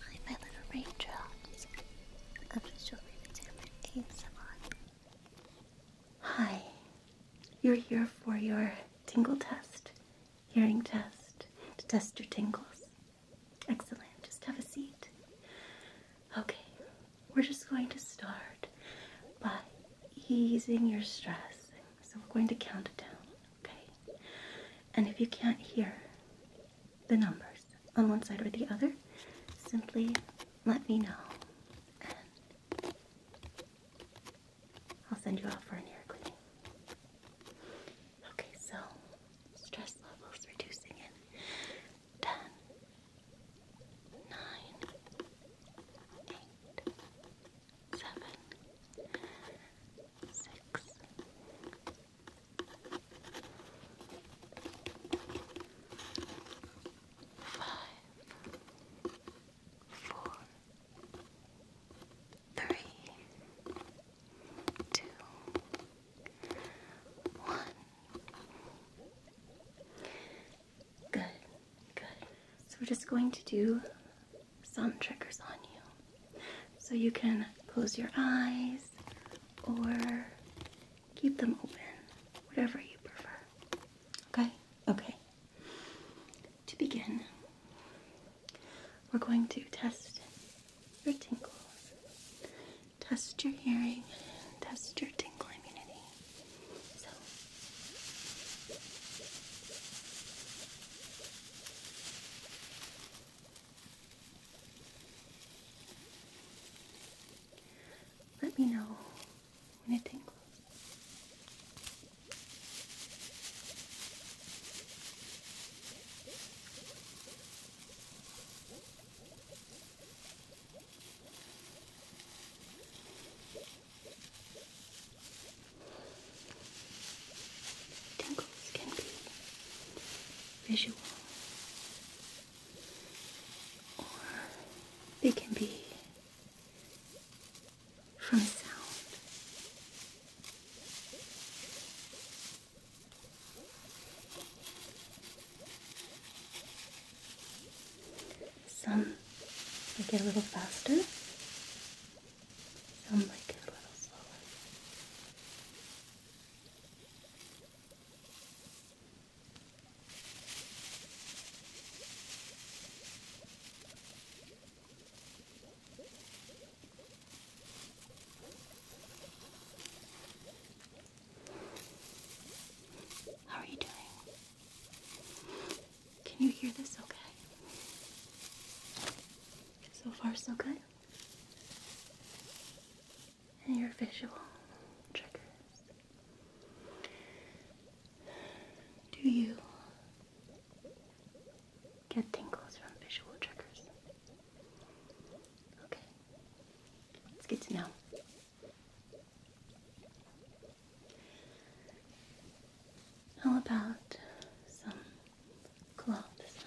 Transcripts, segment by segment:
Hi, my little raindrops. Official Raven ASMR. Hi, you're here for your tingle test, hearing test, to test your tingles. Excellent. Just have a seat. Okay, we're just going to start by easing your stress. So we're going to count it down, okay? And if you can't hear, the numbers on one side or the other, simply let me know and I'll send you out for an ear cleaning. Okay, so stress levels reducing in 10, 9, six, five, four, three, two, one. Good, good. So we're just going to do some triggers on you. So you can close your eyes or keep them open, whatever you prefer. Okay? Okay. To begin, we're going to test your tingle, test your hearing, test your tingle immunity. Let me know when it tingles. Tingles can be visual or they can be from sound. Some get a little faster, some like it How are you doing? Can you hear this okay? So far, so good and your visual triggers. Do you get tingles from visual triggers? Okay, it's good to know. How about some cloth sounds.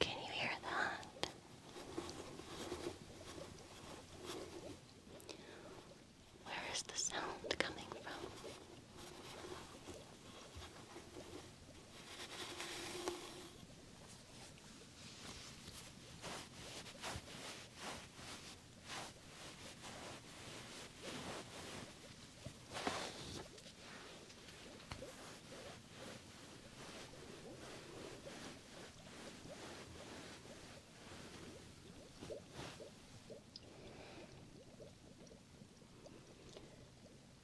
can you hear that? Where is the sound coming from?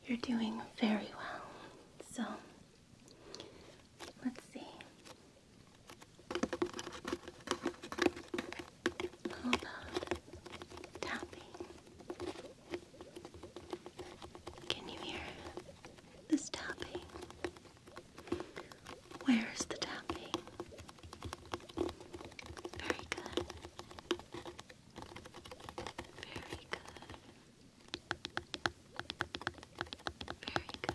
You're doing very well. So, let's see. How about tapping? Can you hear this tapping? Where's the tapping? Very good. Very good. Very good.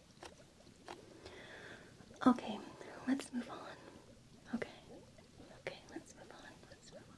Okay, let's move on. Okay, okay, let's move on. Let's move on.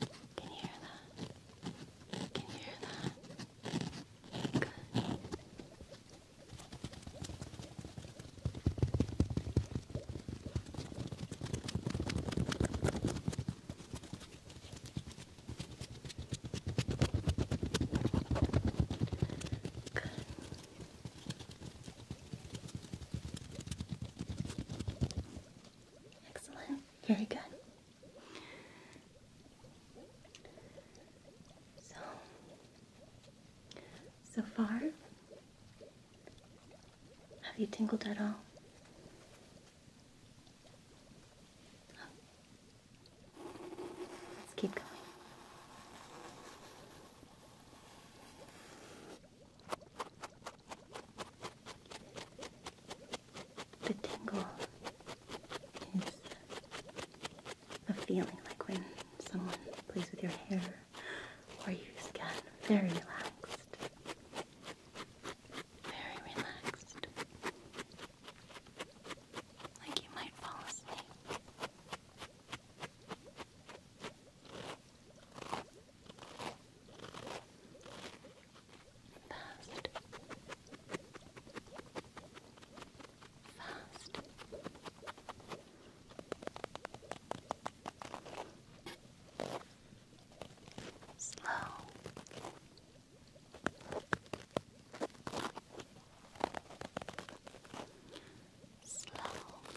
Can hear that? Can hear that? Good. Excellent. Very good. So, so far, have you tingled at all? Let's keep going. The tingle is a feeling like when someone plays with your hair or you just get very relaxed. Very relaxed. Like you might fall asleep. Fast. Fast. Slow. Slow. Slow.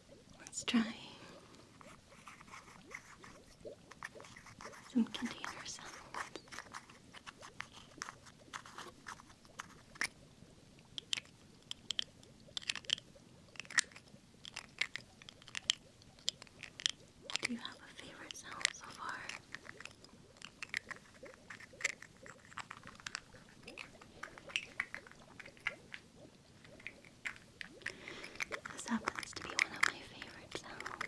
Let's try some containers. Do you have a favorite sound so far? This happens to be one of my favorite sounds.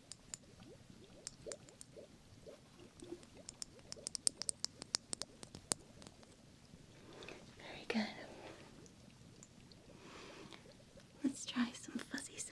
Very good. Let's try some fuzzy sounds.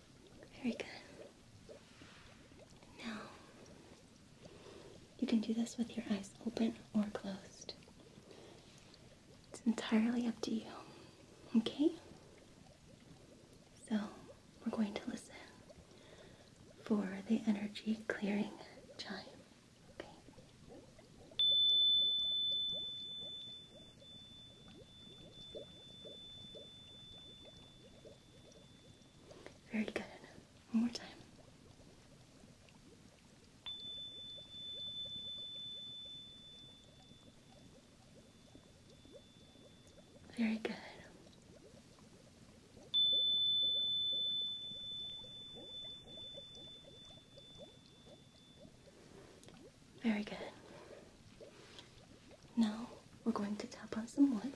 Very good. Now, you can do this with your eyes open or closed. It's entirely up to you. Okay? So, we're going to listen for the energy clearing chime. Okay. Very good. One more time. Very good. Very good. Now we're going to tap on some wood.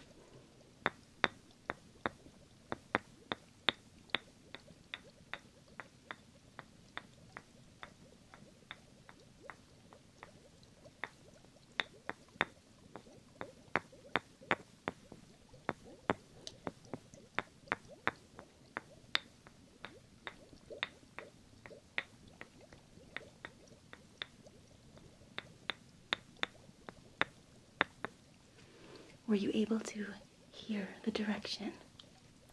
Were you able to hear the direction?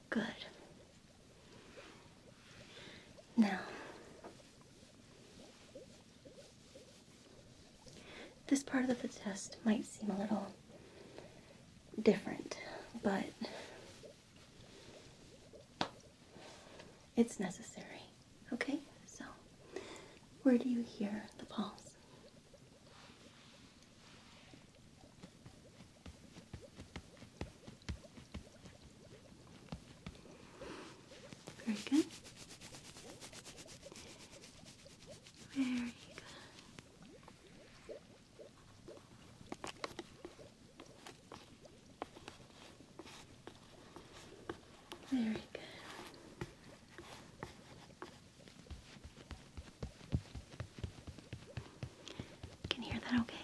Good. Now, this part of the test might seem a little different, but it's necessary. Okay? So, where do you hear the pulse? Very good. Very good. Very good. can hear that Okay.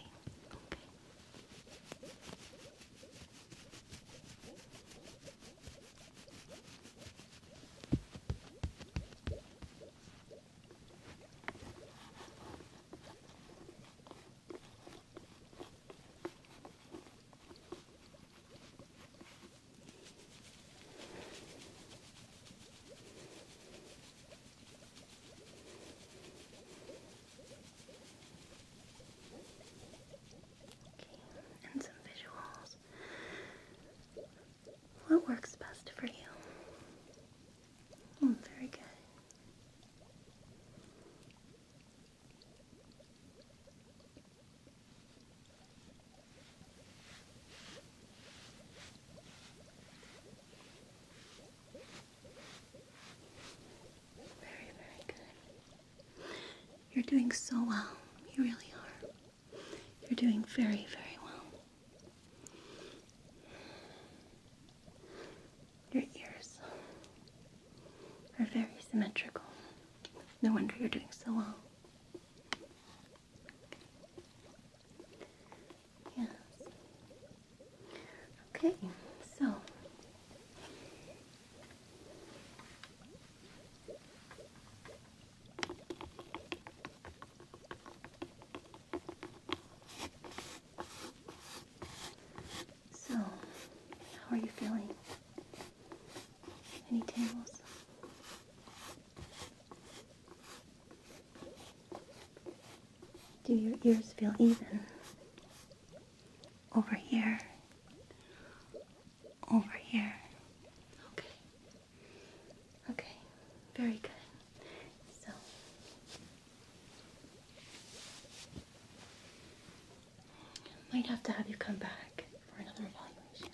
Okay, and some visuals. What works best for you? Oh, very good. Very, very good. You're doing so well. You really are. You're doing very, very well. Your ears are very symmetrical. No wonder you're doing so well. Yes. Okay, so so, how are you feeling? Any tingles? Do your ears feel even? Over here. Over here. Okay. Okay. Very good. So, might have to have you come back for another evaluation.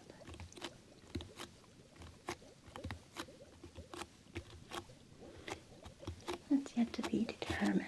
But that's yet to be determined.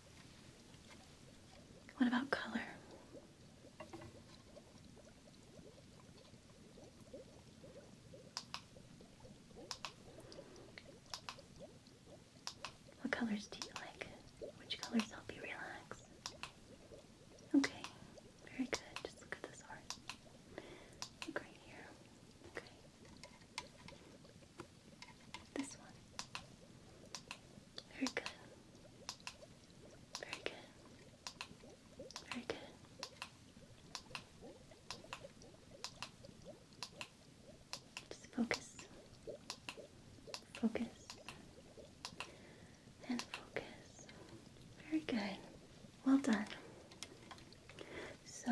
What about color? What colors do you like? Which colors help you relax? Okay, very good. Just look at this art. Look right here. Okay. This one. Very good. Very good. Very good. Just focus. Focus. And focus. Very good. Well done. So,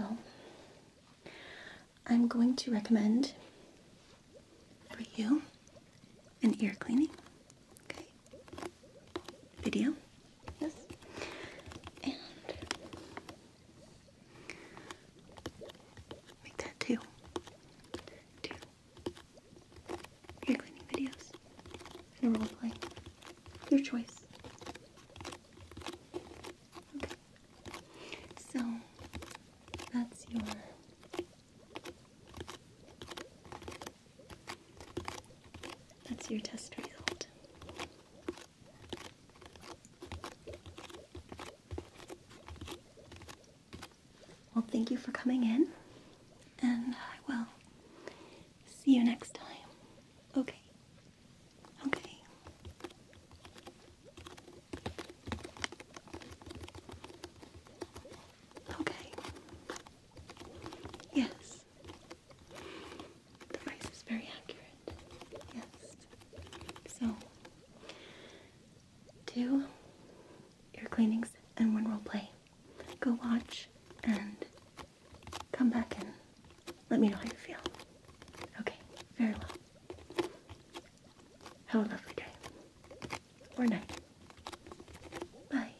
I'm going to recommend for you an ear cleaning. Okay. Video. Yes. And make that two. ear cleaning videos and a Your choice. Okay. So that's your that's your test result. Well, thank you for coming in, and I will see you next time. Okay. Okay. Okay. Yes. The price is very accurate. Yes. So, two, your cleanings and one role play. Go watch and come back and let me know how you feel. Okay, very well. Have a lovely day or night. Bye.